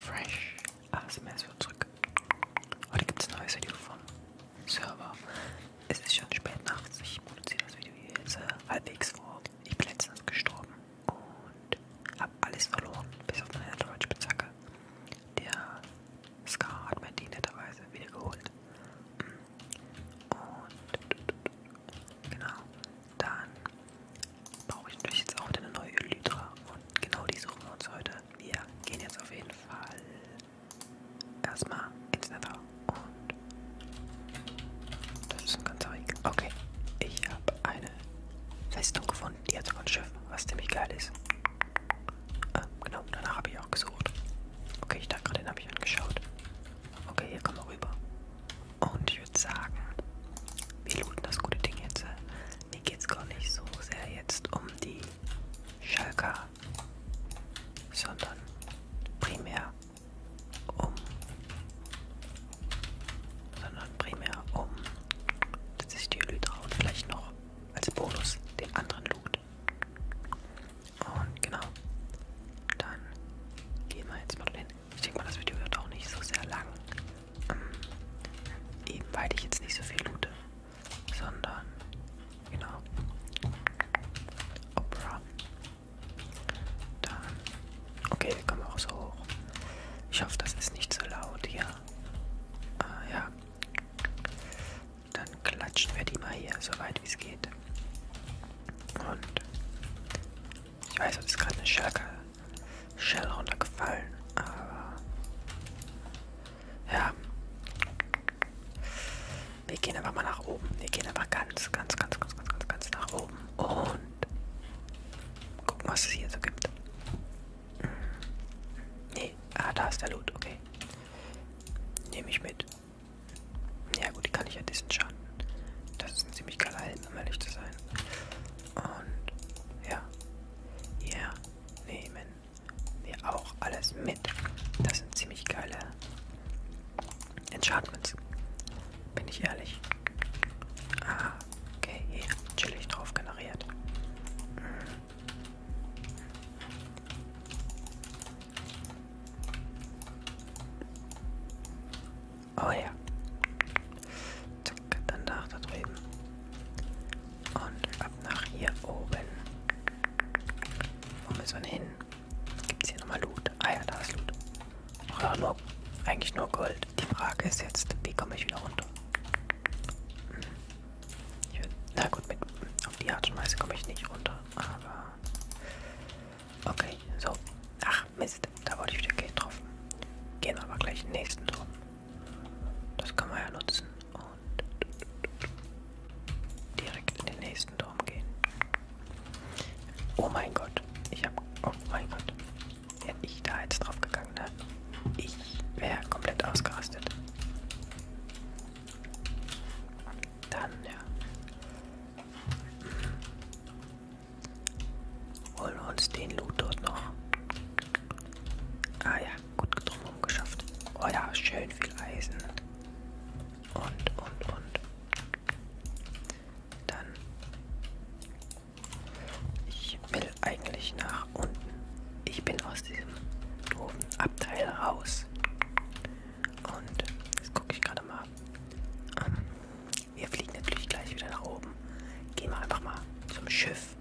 Fresh ASMR ist wieder zurück. Heute gibt es ein neues Video vom Server. Es ist schon spät nachts. Ich produziere das Video jetzt äh, halbwegs vor. Ich bin letztens gestorben und habe alles verloren, bis auf meine Deutschspitzhacke. Der Scar hat mir die netterweise wieder geholt. Und genau, dann brauche ich natürlich jetzt auch wieder eine neue Elytra und genau die suchen wir uns heute. Wir gehen jetzt auf jeden Fall erstmal ins Nether und das ist ein ganzer Weg. Okay, ich habe eine Festung gefunden, die hat sogar ein Schiff, was ziemlich geil ist. Ah, genau, danach habe ich auch gesucht. Okay, ich dachte gerade, den habe ich angeschaut. Okay, hier kommen wir rüber. Und ich würde sagen, wir looten das gute Ding jetzt. Mir geht es gar nicht so sehr jetzt um die Schalker, sondern primär um, sondern primär um, dass ich die Elytra und vielleicht noch als Bonus den anderen loot. Und genau, dann gehen wir jetzt mal hin. Ich denke mal, das Video wird auch nicht so sehr lang. Ähm, eben weil ich jetzt nicht so viel loote, sondern genau. Opera. Dann. Okay, kommen wir auch so hoch. Ich hoffe, das ist nicht so laut hier. Ah, ja. Dann klatschen wir die mal hier so weit wie es geht. Und ich weiß, es ist gerade eine Schalke Shell runtergefallen, aber ja. Wir gehen aber mal nach oben. Wir gehen aber ganz, ganz, ganz, ganz, ganz, ganz, ganz nach oben. Und gucken, was es hier so gibt. Hm. Nee, ah, da ist der Loot, okay. Nehme ich mit. Ja gut, die kann ich ja disenchatten. Das ist ein ziemlich geiler Helm, um ehrlich zu sein. Und ja, hier nehmen wir auch alles mit. Das sind ziemlich geile Enchantments. Bin ich ehrlich. Ah, okay, hier chillig drauf generiert. Oh ja. Zack, dann nach da drüben. Und ab nach hier oben. Wo müssen wir hin? Gibt es hier nochmal Loot? Ah ja, da ist Loot. Oder nur, eigentlich nur Gold. Die Frage ist jetzt, wie komme ich wieder runter? Hm. Will, na gut, mit, auf die Art und Weise komme ich nicht runter. Aber. Okay, so. Ach, Mist, da wollte ich wieder Geld drauf. Gehen wir aber gleich den nächsten drum. Das kann man ja nutzen. Und direkt in den nächsten Turm gehen. Oh mein Gott. Ich habe... Oh mein Gott. Wäre ich da jetzt drauf gegangen, ne? Ich wäre komplett ausgerastet. Dann, ja. Holen wir uns den Loot dort noch. Ah ja, gut drumherum geschafft. Oh ja, schön viel Eisen. Und, und, und. Dann. Ich will eigentlich nach unten. Ich bin aus diesem doofen Abteil raus. Und jetzt gucke ich gerade mal. Um, ähm, wir fliegen natürlich gleich wieder nach oben. Gehen wir einfach mal zum Schiff.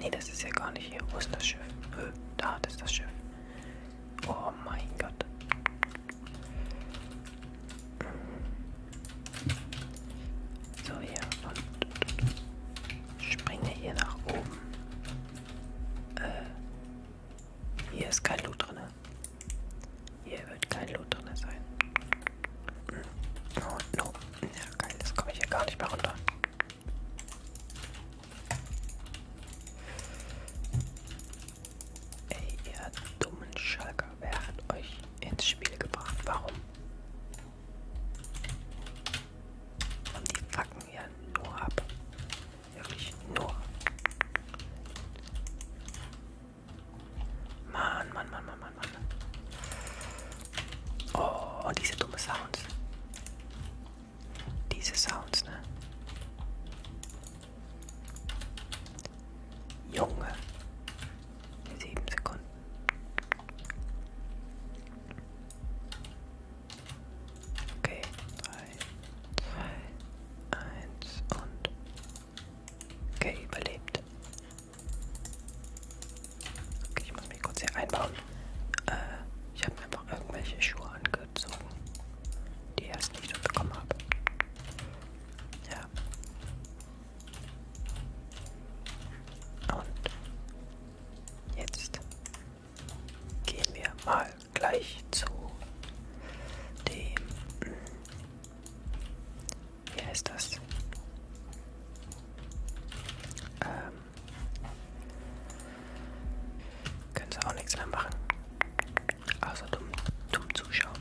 Nee, das ist ja gar nicht hier. Wo ist das Schiff? Hö, da, das ist das Schiff. Oh mein Gott. So, hier. Und springe hier nach oben. Äh, hier ist kein Loot drin. Hier wird kein Loot drin sein. Hm. Oh no. Ja geil, das komme ich ja gar nicht mehr runter. Ey, ihr dummen Schalker, wer hat euch ins Spiel gebracht? Warum? Und die fucken ja nur ab. Wirklich nur. Mann, Mann, Mann, Mann, Mann, Mann. Oh, diese dumme Sounds. Diese Sounds, ne? Junge. Sieben Sekunden. Okay, drei, 2, 1 und... Okay, überlebt. Okay, ich muss mich kurz hier einbauen. Äh, ich habe mir einfach irgendwelche Schuhe angezogen, die ich erst nicht bekommen habe. Ja. Und jetzt gehen wir mal gleich zu dem. Wie heißt das? Ähm. Können sie auch nichts mehr machen. Außer dumm, dumm zuschauen.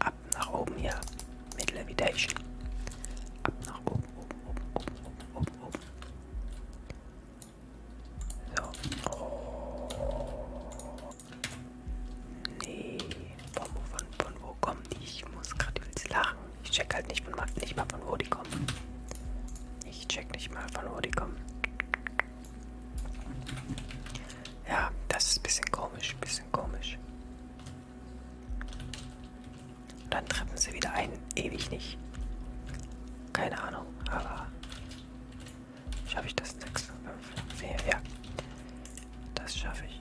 Ab nach oben hier mit Levitation. Ab nach oben, oben, oben, oben, oben, oben, oben. So. Oh. Nee. Von, von, von wo kommen die? Ich muss gerade übelst lachen. Ich check halt nicht, von, nicht mal von wo die kommen. Ich check nicht mal von wo die kommen. Ja, das ist ein bisschen komisch, ein bisschen komisch. Und dann treffen sie wieder einen ewig nicht. Keine Ahnung, aber schaffe ich das? 6, 5, 4, ja. Das schaffe ich.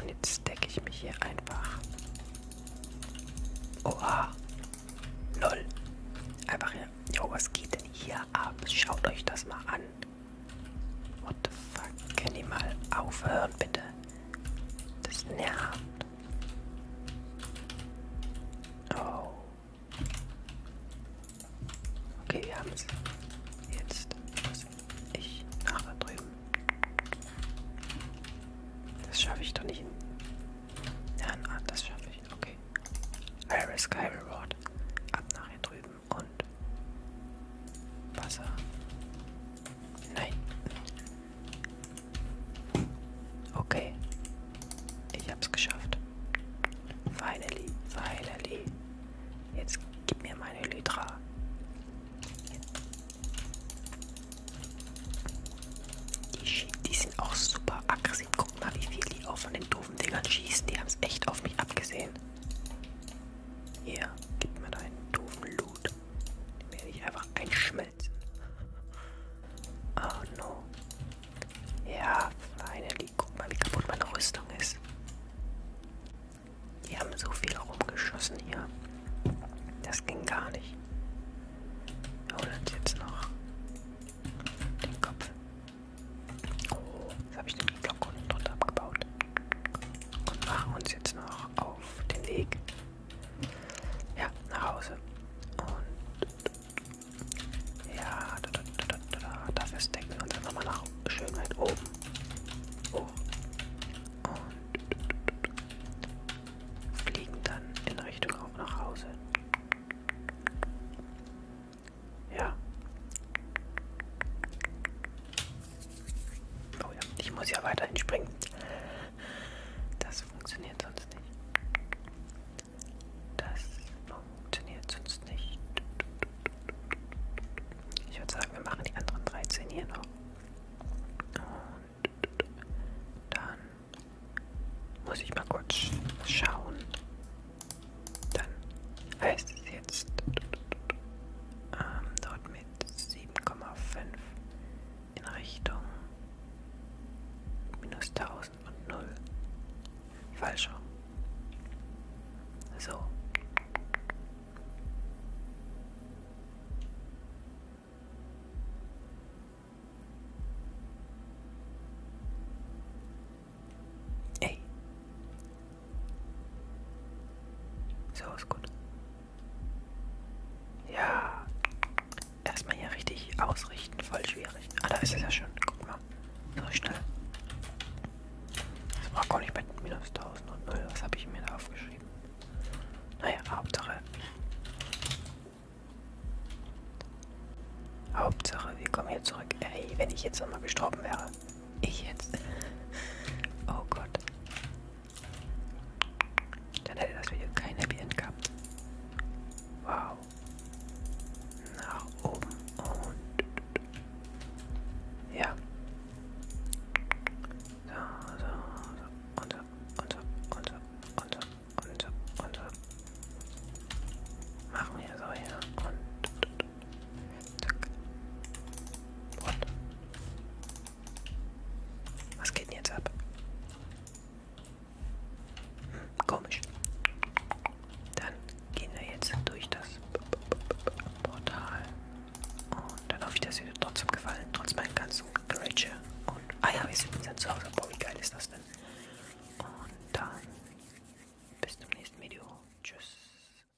Und jetzt decke ich mich hier einfach. Oha. Lol. Einfach hier. Jo, was geht denn hier ab? Schaut euch das mal an. What the fuck? Können die mal aufhören, bitte? Das nervt. Oh. Okay, wir haben es. Jetzt muss ich nach da drüben. Das schaffe ich doch nicht. Ja, na, das schaffe ich. Okay. I risk, I reward. Ab nach hier drüben und Wasser. Nein. Okay. Ich hab's geschafft. Finally, finally. Jetzt gib mir meine Lydra. Die, die sind auch super aggressiv. Guck mal, wie viel die auch von den doofen Dingern schießen. Die haben es echt auf mich abgesehen. Hier, gib mir deinen doofen Loot. Den werde ich einfach einschmeißen medicine. Oh no. Ja, finally. Guck mal, wie kaputt meine Rüstung ist. Die haben so viel rumgeschossen hier. Das ging gar nicht. Wir holen uns jetzt noch den Kopf. Oh, jetzt habe ich den Block unten drunter abgebaut. Und machen uns jetzt noch auf den Weg ja, nach Hause. Und ja, da, da, da, da, da. dafür stecken wir uns einfach mal nach Schönheit oben. Oh. Und fliegen dann in Richtung auch nach Hause. Ja. Oh ja, ich muss ja weiterhin springen. Das funktioniert sonst nicht. Das funktioniert sonst nicht. Ich würde sagen, wir machen die anderen 13 hier noch. Und dann muss ich mal kurz schauen. Dann heißt es jetzt ähm, dort mit 7,5 in Richtung minus 1000 und 0. Falsch rum. So. Ey. So ist gut. Ja. Erstmal hier richtig ausrichten, voll schwierig. Ah, da ist es ja schon. Guck mal. So schnell. Das war gar nicht bei minus 1000 und 0. Was habe ich mir da aufgeschrieben? Naja, Hauptsache. Hauptsache, wir kommen hier zurück. Ey, wenn ich jetzt nochmal gestorben wäre. Ich jetzt. Oh Gott. Dann hätte das Video kein Happy End gehabt. Wow. Nach oben und... Ja. So, so, so. Und so, und so, und so, und so, und so, und so. Machen wir so hier und... Zack. Und. Was geht denn jetzt ab? Hm, komisch. Dann gehen wir jetzt durch das Portal. Und dann hoffe ich, dass ihr trotzdem gefallen, trotz meinem ganzen Grätsche. Und, ah ja, wir sind zu Hause. Boah, wie geil ist das denn? Und dann bis zum nächsten Video. Tschüss.